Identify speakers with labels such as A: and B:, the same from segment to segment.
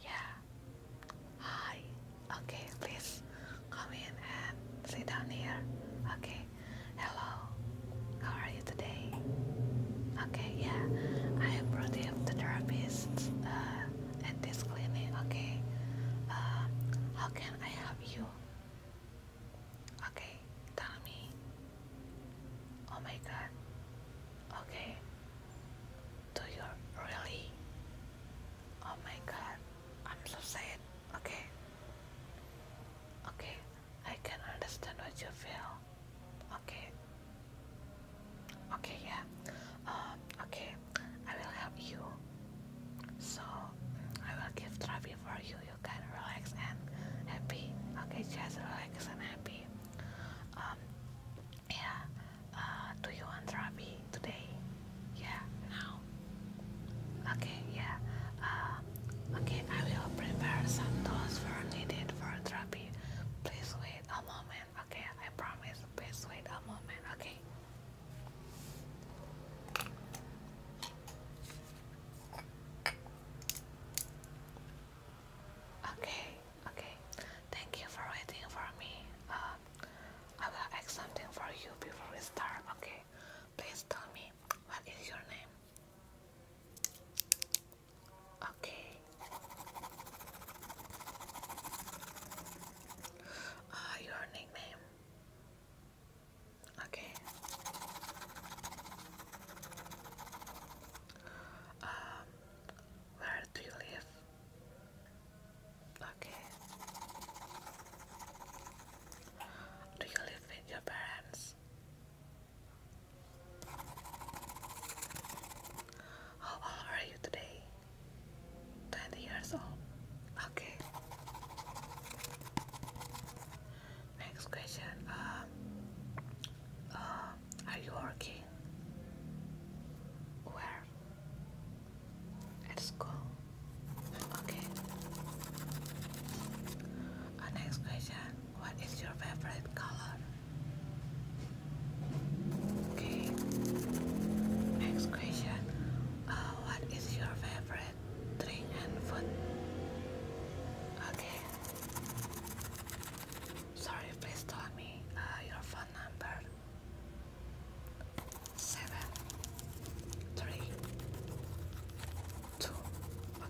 A: Yeah. Hi. Okay, please come in and sit down here. Okay. Hello. How are you today? Okay, yeah. I am Rudy of the uh, at this clinic. Okay. Uh, how can I help you? Okay, tell me. Oh my god. Okay. Do you really? Oh my god. I'm so sad. Okay. Okay. I can understand what you feel. Okay. Okay, yeah. Um, okay. I will help you. So, I will give therapy for you. You can relax and happy. Okay, just relax and happy. Um, yeah. Uh, do you want therapy today? Yeah. Now. Okay. Yeah. Uh, okay. I will prepare some tools for needed for therapy. Please wait a moment. Okay. I promise. Please wait a moment. Okay. Okay, Okay, thank you for waiting for me. Um, I will ask something for you before we start, okay? Please tell me, what is your name? Okay. Uh, your nickname? Okay. Um, where do you live? Okay. Do you live with your parents? How old are you today? 20 years old. Okay. Next question. Um, uh, are you working? Where? At school. Okay. next question. What is your favorite color? Okay. Next question. Uh, what is your favorite drink and food? Okay. Sorry, please tell me uh, your phone number. Seven, three, two,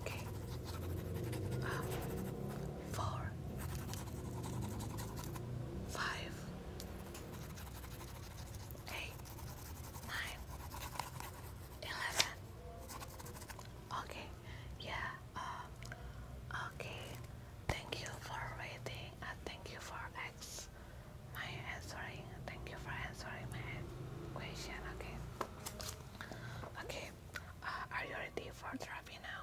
A: okay. Um, four, five, eight, nine, eleven, Okay, yeah, um, okay. Thank you for waiting and uh, thank you for answering. Thank you for answering my question. Okay, okay. Uh, are you ready for therapy now?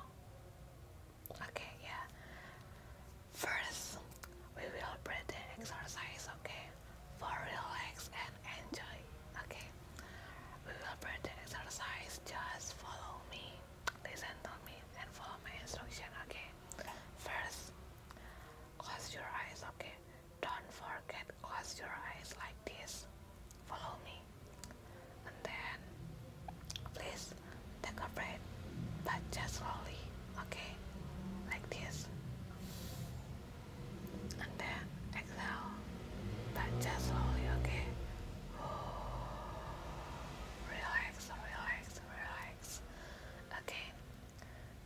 A: Okay, yeah. First, we will pretend exercise. Okay, for relax and enjoy. Okay, we will pretend exercise. Just follow me listen to me and follow my instruction, okay? First, close your eyes, okay? Don't forget, close your eyes like this. Follow me. And then, please take a breath, but just slowly, okay? Like this. And then, exhale, but just slowly, okay? Relax, relax, relax. Okay,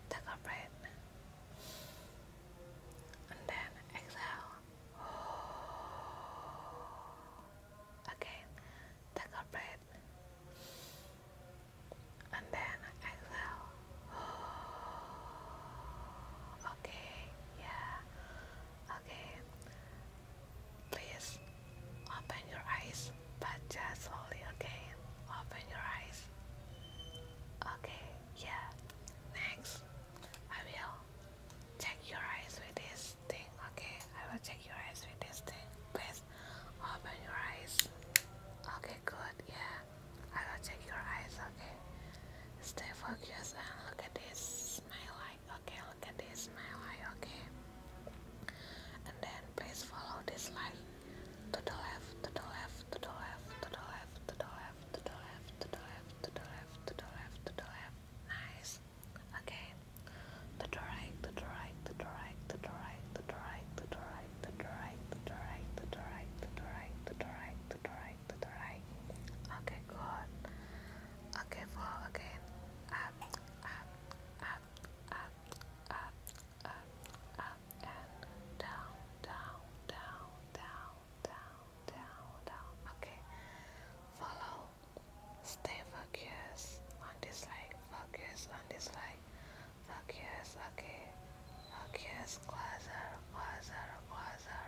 A: take a breath and then exhale. Okay, take a breath and then exhale. Okay, yeah, okay. Please open your eyes, but just slowly, okay? Open your eyes. Okay, yeah. Next, I will check your eyes with this thing, okay? I will check your eyes with this thing. Please open your eyes. Okay, good, yeah. I will check your eyes, okay? Stay focused and look at this. Smile like, okay, look this my okay and then please follow this line to the left to the left to the left to the left to the left to the left to the left to the left to the left to the left nice okay to the right to the right to the right to the right to the right to the right to the right to the right to the right to the right to the right to the right okay good Okay, fall again. Up, up, up, up, up, up, up, down, down, down, down, down, down, down. Okay. Follow. Stay focused on this leg. Focus on this leg. Focus. Okay. Focus. Closer, closer, closer.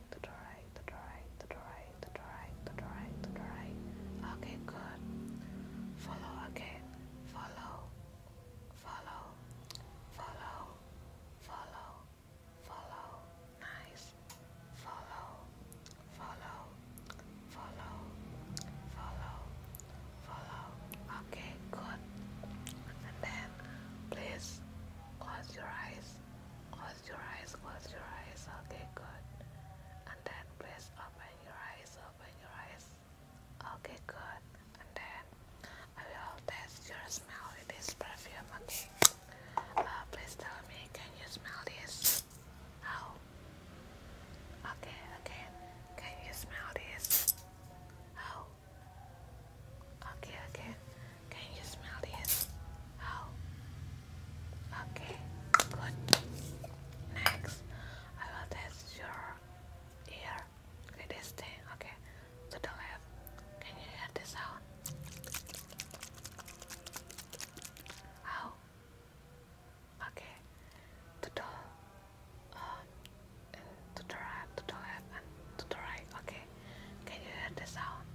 A: right, to the right, to the right, to the right, to the right, to the right, to the right. Okay, good. Follow again. Follow. Follow. Follow. Follow. Follow. Nice. Follow. Follow. Follow. Follow. Follow. Okay, good. And then please close your eyes. Close your eyes, close your eyes. Okay, good. And then please open your eyes, open your eyes. Okay, good. And then I will test your smell with this perfume, okay? Uh, please tell me, can you smell this? How? Oh. Okay, okay. Can you smell this? How? Oh. Okay, okay. Can you smell this? How? Okay, good. Next, I will test your ear with this Okay, to the left. Can you hear the sound? How? Okay, to the uh, to the right, to the left, and to the right. Okay, can you hear the sound?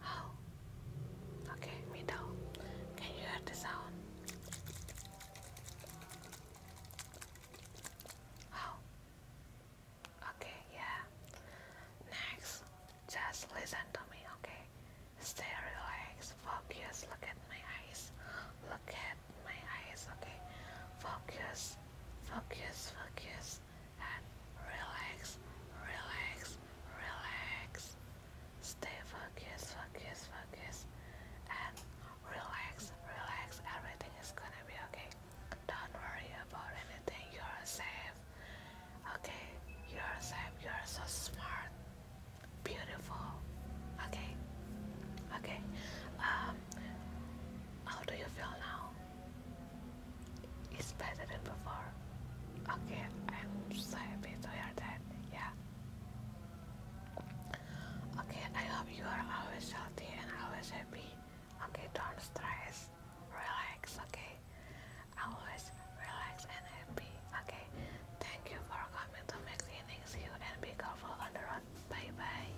A: How? Oh. Okay, me Can you hear the sound? How? Oh. Okay, yeah. Next, just listen to me, okay? Stay relaxed, focus, look at my eyes. Look at my eyes, okay? Focus, focus, focus relax and relax, relax, relax. Stay focused, focus, focus, and relax, relax. Everything is gonna be okay. Don't worry about anything. You're safe. Okay,
B: you're safe. You're so
A: smart, beautiful. Okay, okay. Um, how do you feel now? It's better than before. Okay, I'm so happy to hear that. Yeah. Okay, I hope you are always healthy and always happy. Okay, don't stress. Relax, okay? Always relax and happy, okay? Thank you for coming to my clinic. See you and be careful on the road. Bye bye.